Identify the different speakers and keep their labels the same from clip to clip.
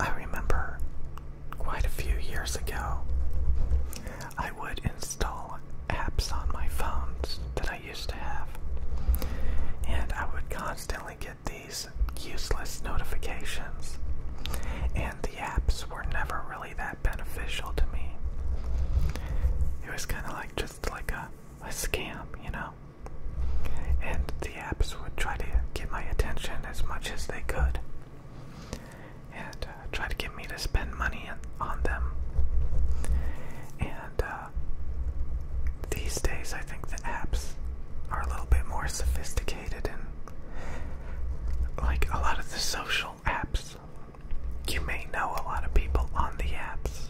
Speaker 1: I remember quite a few years ago, I would install apps on my phones that I used to have, and I would constantly get these useless notifications, and the apps were never really that beneficial to me. It was kind of like just like a, a scam, you know? And the apps would try to get my attention as much as they could and uh, try to get me to spend money on them. And uh, these days, I think the apps are a little bit more sophisticated and like a lot of the social apps. You may know a lot of people on the apps.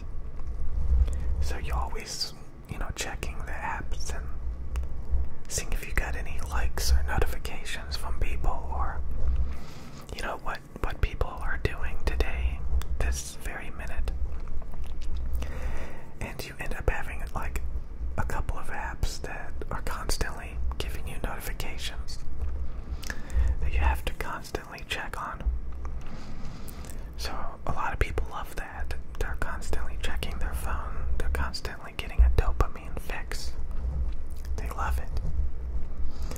Speaker 1: So you always you know, checking the apps and seeing if you got any likes or notifications from people or you know what what people are doing today this very minute and you end up having like a couple of apps that are constantly giving you notifications that you have to constantly check on so a lot of people love that. They're constantly checking their phone. They're constantly getting a dopamine fix. They love it.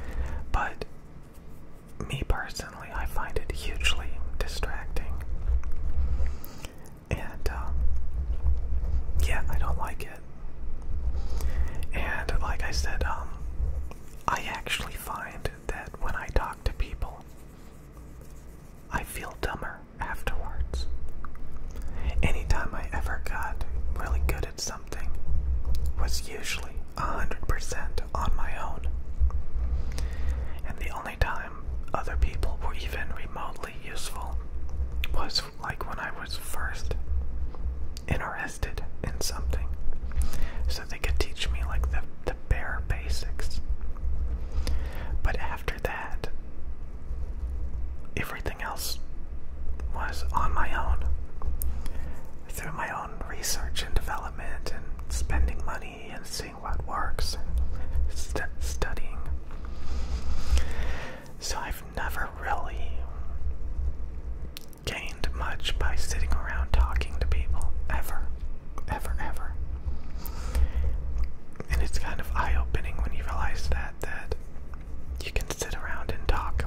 Speaker 1: But me personally, I find it hugely distracting. And um, yeah, I don't like it. And like I said, um, I actually find that when I talk to people, I feel dumber afterwards. Any time I ever got really good at something was usually 100% on my own. And the only time other people were even remotely useful was like when I was first interested in something. So they could teach me like the, the bare basics. But after that, everything else was on my own through my own research and development and spending money and seeing what works and studying. So I've never really gained much by sitting around talking to people ever ever, ever. And it's kind of eye-opening when you realize that that you can sit around and talk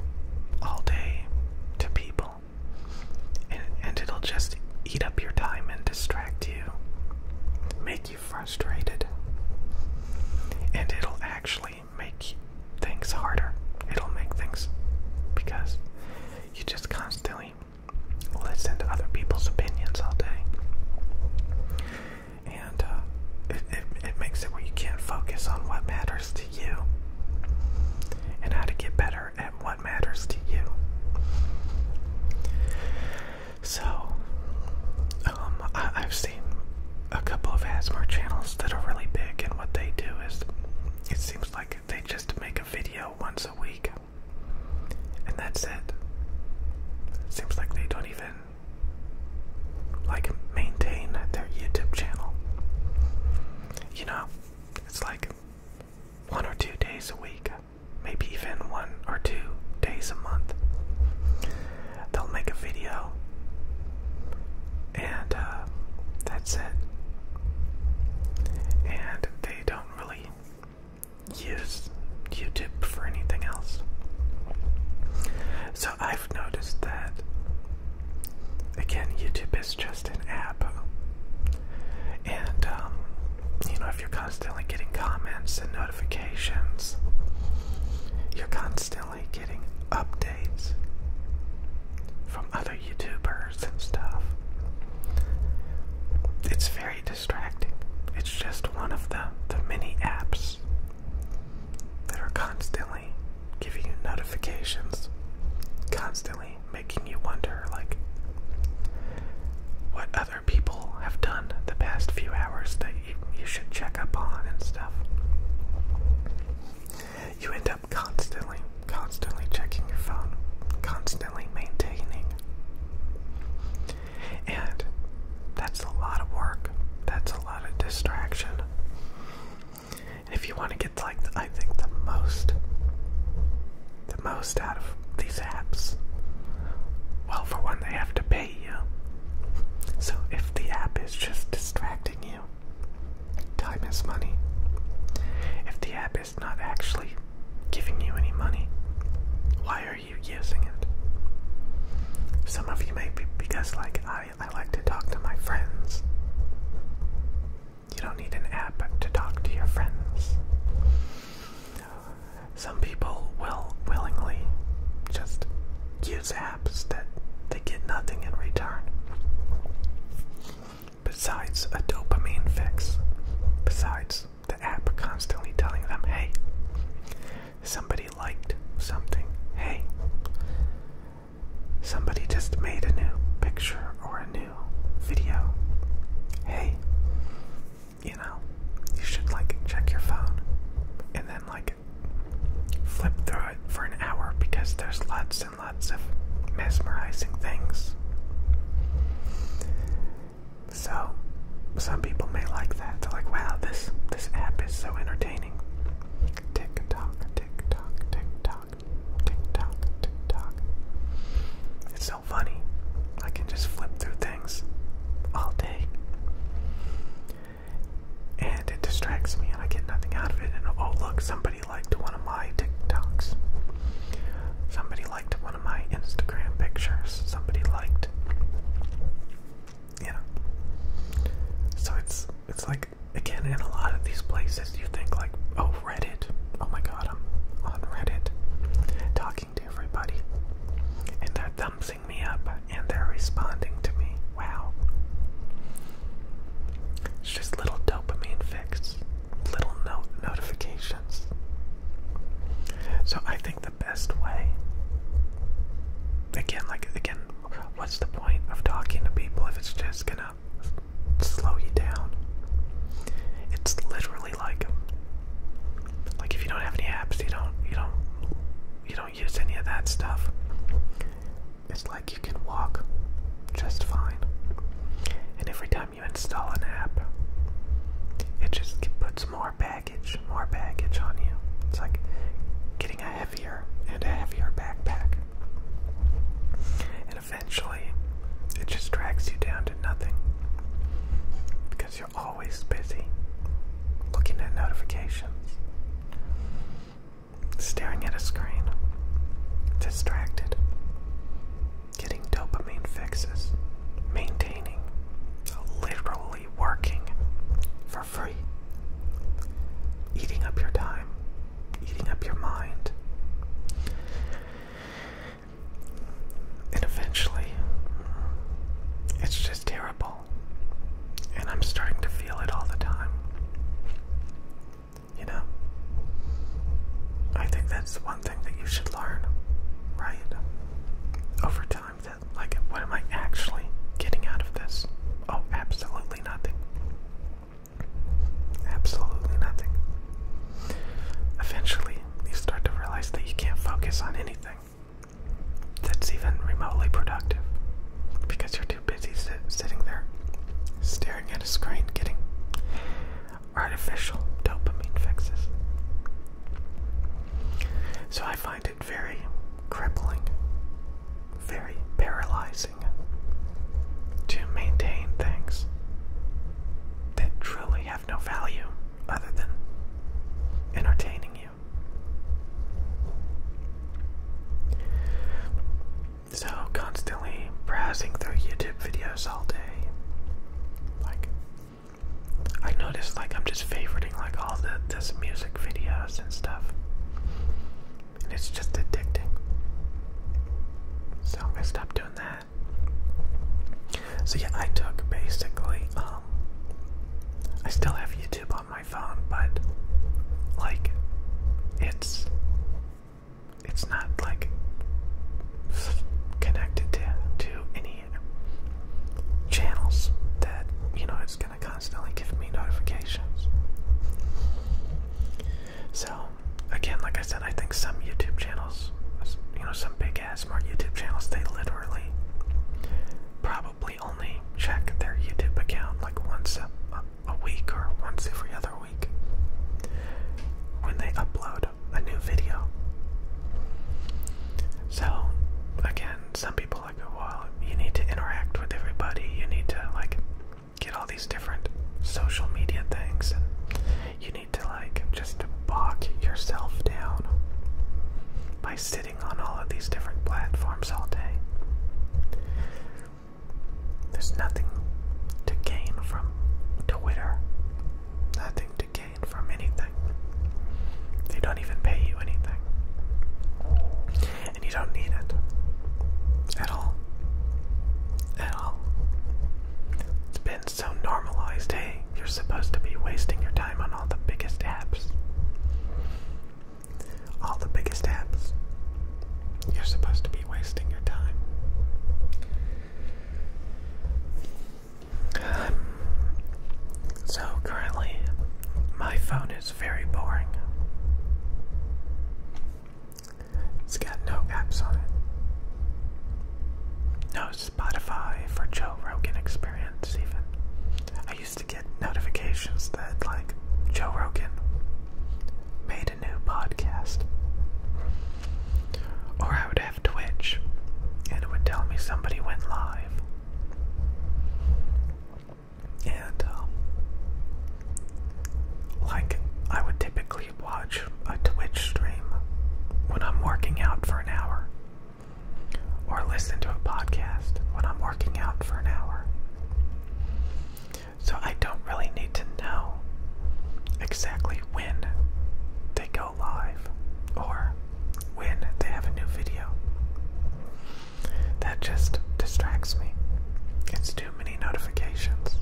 Speaker 1: all day to people, and and it'll just eat up your time and distract you, make you frustrated, and it'll actually make things harder. It'll make things because you just constantly listen to other people's opinions all day. And uh, it, makes it where you can't focus on what matters to you and how to get better at what matters to you. So, um, I, I've seen a couple of ASMR channels that are really big, and what they do is it seems like they just make a video once a week and that's it. Seems like they don't even like maintain their YouTube channel. You know, it's like one or two days a week, maybe even one or two days a month. They'll make a video, and uh, that's it. And they don't really use YouTube for anything else. So I've noticed that, again, YouTube is just an app. And, um, you know, if you're constantly getting comments and notifications, you're constantly getting updates from other YouTubers and stuff. It's very distracting. It's just one of the, the many apps that are constantly giving you notifications, constantly making you wonder, like, what other people have done the past few hours that you, you should check up on and stuff. You end up constantly, constantly checking your phone, constantly maintaining and that's a lot of work. That's a lot of distraction. And if you want to get like I think the most the most out of these apps, well for one they have to pay you. So if the app is just distracting you, time is money. If the app is not actually giving you any money, why are? you using it? Some of you may be because like I, I like to talk to my friends. You don't need an app to talk to your friends. Some people will willingly just use apps that they get nothing in return. Besides a dopamine fix, besides the app constantly telling them, hey, somebody liked something. Hey, somebody just made a new picture or a new video. Hey, you know, you should like check your phone and then like flip through it for an hour because there's lots and lots of mesmerizing things. So some people may like that. They're like, wow, this this app is so entertaining. Tick tock, tick tock, tick It's so funny. I can just flip through things all day. And it distracts me and I get nothing out of it. And oh look, somebody liked one of my TikToks. Somebody liked one one of my Instagram pictures somebody liked. You know. So it's it's like again in a lot of these places you think like, oh Reddit. Oh my god, I'm on Reddit talking to everybody. And they're thumbsing me up and they're responding to me. Wow. It's just little dopamine fix, little notification. So I think the best way again like again what's the point of talking to people if it's just gonna slow you down? It's literally like like if you don't have any apps you don't you don't you don't use any of that stuff. It's like you can walk just fine. And every time you install an app, it just puts more baggage, more baggage on you. It's like getting a heavier and a heavier backpack. And eventually, it just drags you down to nothing because you're always busy looking at notifications, staring at a screen, distracted getting dopamine fixes, maintaining, literally working for free, eating up your time, eating up your mind. And eventually, it's just terrible. And I'm starting to feel it all the time. You know? I think that's one that you should learn, right? Over time, that, like, what am I actually getting out of this? Oh, absolutely nothing. Absolutely nothing. Eventually, you start to realize that you can't focus on anything that's even remotely productive because you're too busy sitting there staring at a screen, getting artificial dopamine fixes. So I find it very crippling, very paralyzing to maintain things that truly have no value other than entertaining you. So, constantly browsing through YouTube videos all day, like I noticed like I'm just favoriting like all the this music videos and stuff. And it's just addicting. So I'm gonna stop doing that. So yeah, I took basically um I still have YouTube on my phone, but like it's it's not like connected to to any channels that you know it's gonna constantly give me notifications. So again, like I said, I think some YouTube channels, you know, some big ass smart YouTube channels, they literally probably only check their YouTube account like once a, week or once every other week when they upload a new video. So, again, some people like, well, you need to interact with everybody. You need to like get all these different social media things, and you need to like just bog yourself down by sitting on all of these different platforms all day. There's nothing to gain from Twitter. Nothing to from anything. They don't even pay you anything. And you don't need it. At all. At all. It's been so normalized, hey, you're supposed to be wasting your time on all the biggest apps. All the biggest apps. You're supposed to be wasting your time so currently, my phone is very boring. It's got no apps on it. No Spotify for Joe Rogan Experience, even. I used to get notifications that, like, Joe Rogan made a new podcast. Or I would Twitch, and it would tell me somebody went live. And, um, like, I would typically watch a Twitch stream when I'm working out for an hour, or listen to a podcast when I'm working out for an hour. So I don't really need to know exactly when they live or when they have a new video. That just distracts me. It's too many notifications.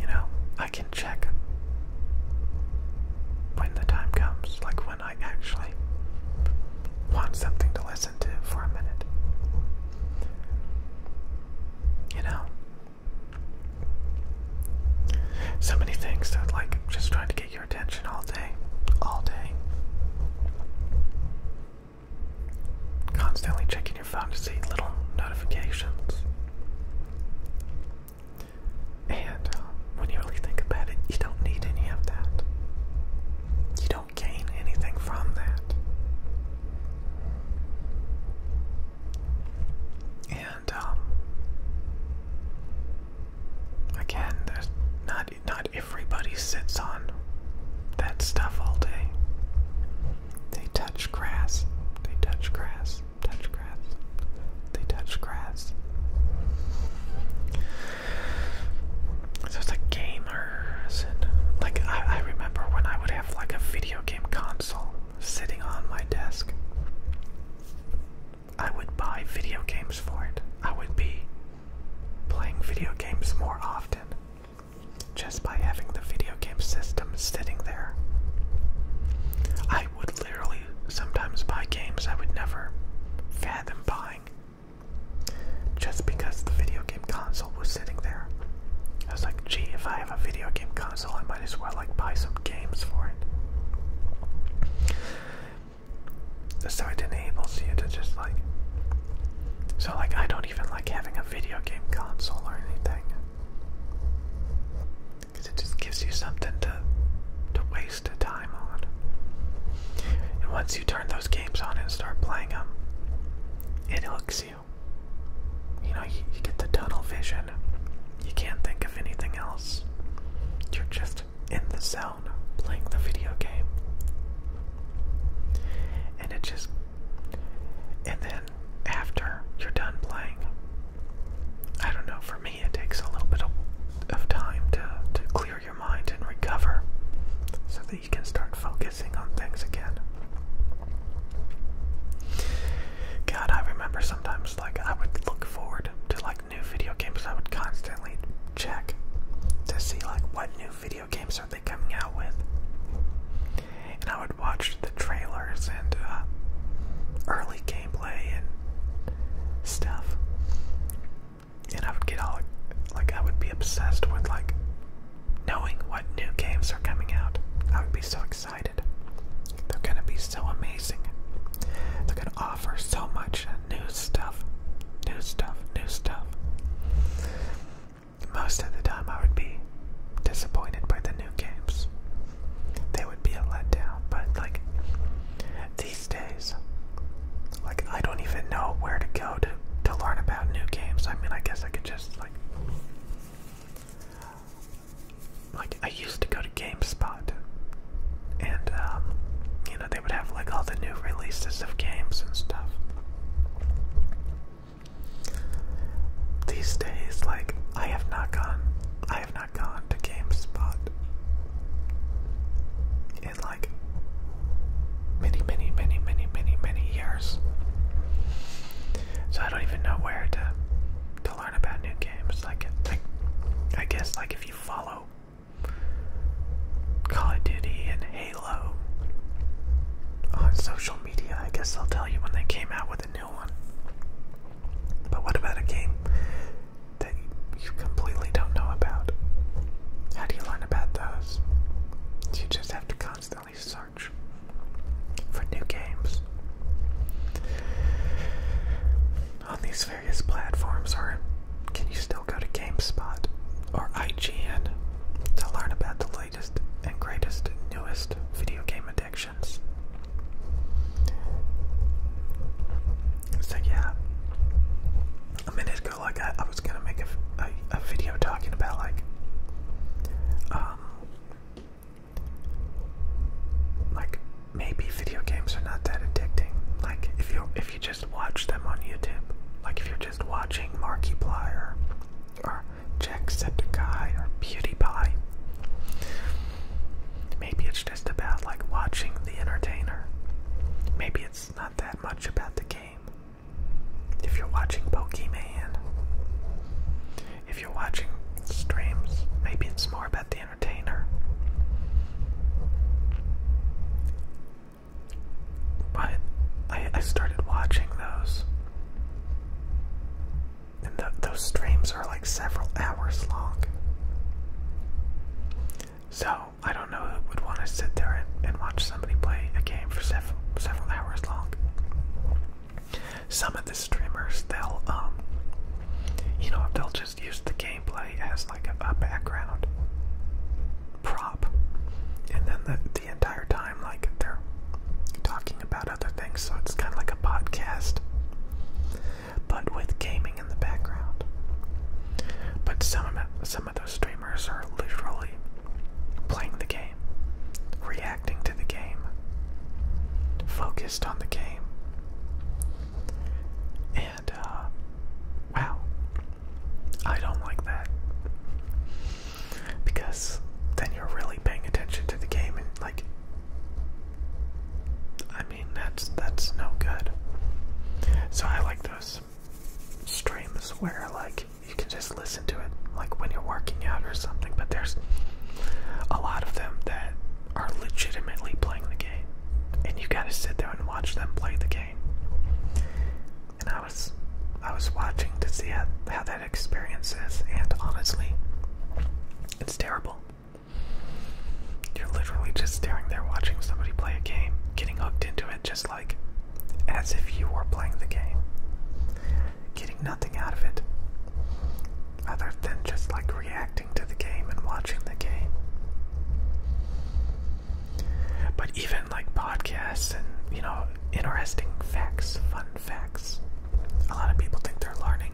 Speaker 1: You know, I can check when the time comes, like when I actually want something to listen to for a minute. You know, so many things that, like, just trying to get your attention all day. All day. Constantly checking your phone to see little notifications. And uh, when you really think about it, you don't need any of that. You don't gain anything from that. And um, again, not not everybody sits on that stuff all day. They touch grass. They touch grass. Touch grass. They touch grass. So it's like gamers and like I remember when I would have like a video game console sitting on my desk. I would buy video games for it. I would be playing video games more often just by having the video game system sitting there. I would literally sometimes buy games I would never fathom buying just because the video game console was sitting there. I was like, gee, if I have a video game console in my might as well like buy some games for it. So it enables you to just like so like I don't even like having a video game console or anything. Cause it just gives you something to to waste time on. And once you turn those games on and start playing them, it hooks you you. know, you, get the tunnel vision. You can't think of anything else. You're just in the zone playing the video game. And it just. And then after you're done playing, I don't know, for me it takes a little bit of, of time to, to clear your mind and recover so that you can start focusing on things again. God, I remember sometimes like I would look forward to like new video games. I would constantly check to see like what new video games are they coming out with. And I would watch the trailers and uh, early gameplay and stuff. And I would get all like I would be obsessed with like knowing what new games are coming out. I would be so excited. They're going to be so amazing. They're going to offer so much new stuff, new stuff, new stuff. Most of the time, I would be disappointed by the new games. They would be a letdown, but like these days, like I don't even know where to go to to learn about new games. I mean, I guess I could just like like I used to go to GameSpot, and um, you know they would have like all the new releases of games and stuff. These days, like I have not gone, I have not gone to GameSpot in like many, many, many, many, many, many years. So I don't even know where to learn about new games. like I guess, like if you follow Call of Duty and Halo on social media, I guess they'll tell you when they came out with a new one. But what about a game that you completely don't know about? How do you learn about those? You just have to constantly search for new games. On these various platforms, or can you still go to GameSpot or IGN to learn about the latest and greatest, newest video game addictions? So, yeah, a minute ago, like I, was gonna make a, a video talking about like um, like maybe video games are not that addicting. Like if you if you just watch them on YouTube, like if you're just watching Markiplier or Jacksepticeye or PewDiePie, maybe it's just about like watching the entertainer. Maybe it's not that much about the game. If you're watching Pokemon, if you're watching streams, maybe it's more about the entertainer. But I, started watching those, and those streams are like several hours long. So I don't know who would want to sit there and watch somebody play a game for several several hours long some of the streamers they'll um, you know they'll just use the gameplay as like a, a background prop and then the, the entire time like they're talking about other things so it's kind of like a podcast but with gaming in the background but some of, some of those streamers are literally playing the game reacting to the game, focused on the game. And, uh, wow, I don't like that. Because then you're really paying attention to the game and, like, I mean, that's, that's no good. So I like those streams where, like, you can just listen to it, like, when you're working out or something, but there's a lot of them that are legitimately playing the game. And you gotta sit there and watch them play the game. And I was I was watching to see how, how that experience is, and honestly, it's terrible. You're literally just staring there watching somebody play a game, getting hooked into it just like as if you were playing the game getting nothing out of it other than just like reacting to the game and watching the game. But even like podcasts and, you know, interesting facts, fun facts, a lot of people think they're learning.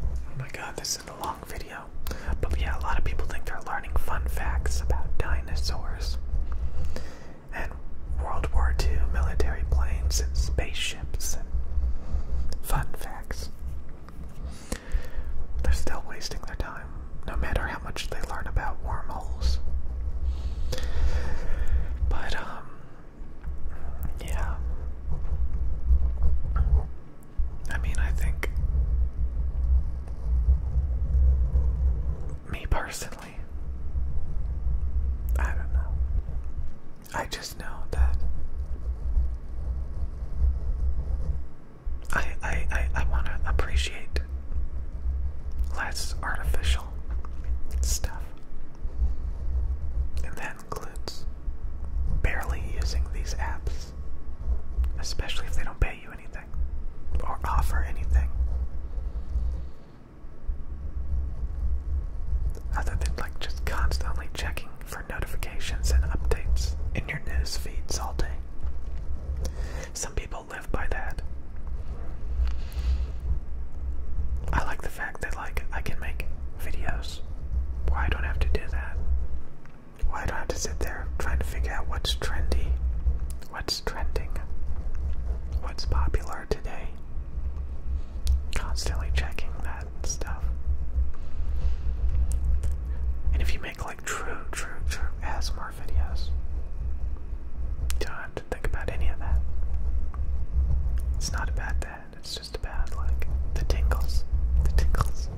Speaker 1: Oh my god, this is a long video. But yeah, a lot of people think they're learning fun facts about dinosaurs and World War II military planes and spaceships and fun facts. They're still wasting their time, no matter how much they learn about wormholes. But, um, yeah. I mean, I think me personally, I don't know. I just know that I I I, I want to appreciate less artificial stuff, and that includes barely using these apps, especially if they don't pay you anything or offer anything other than like just constantly checking for notifications and updates in your news feeds all day. Some people live by that. I like the fact that like I can make videos where I don't have to do that. Why well, I have to sit there trying to figure out what's trendy What's trending? What's popular today? Constantly checking that stuff. And if you make like true, true, true ASMR videos, don't have to think about any of that. It's not about that, it's just about like the tingles. The tingles.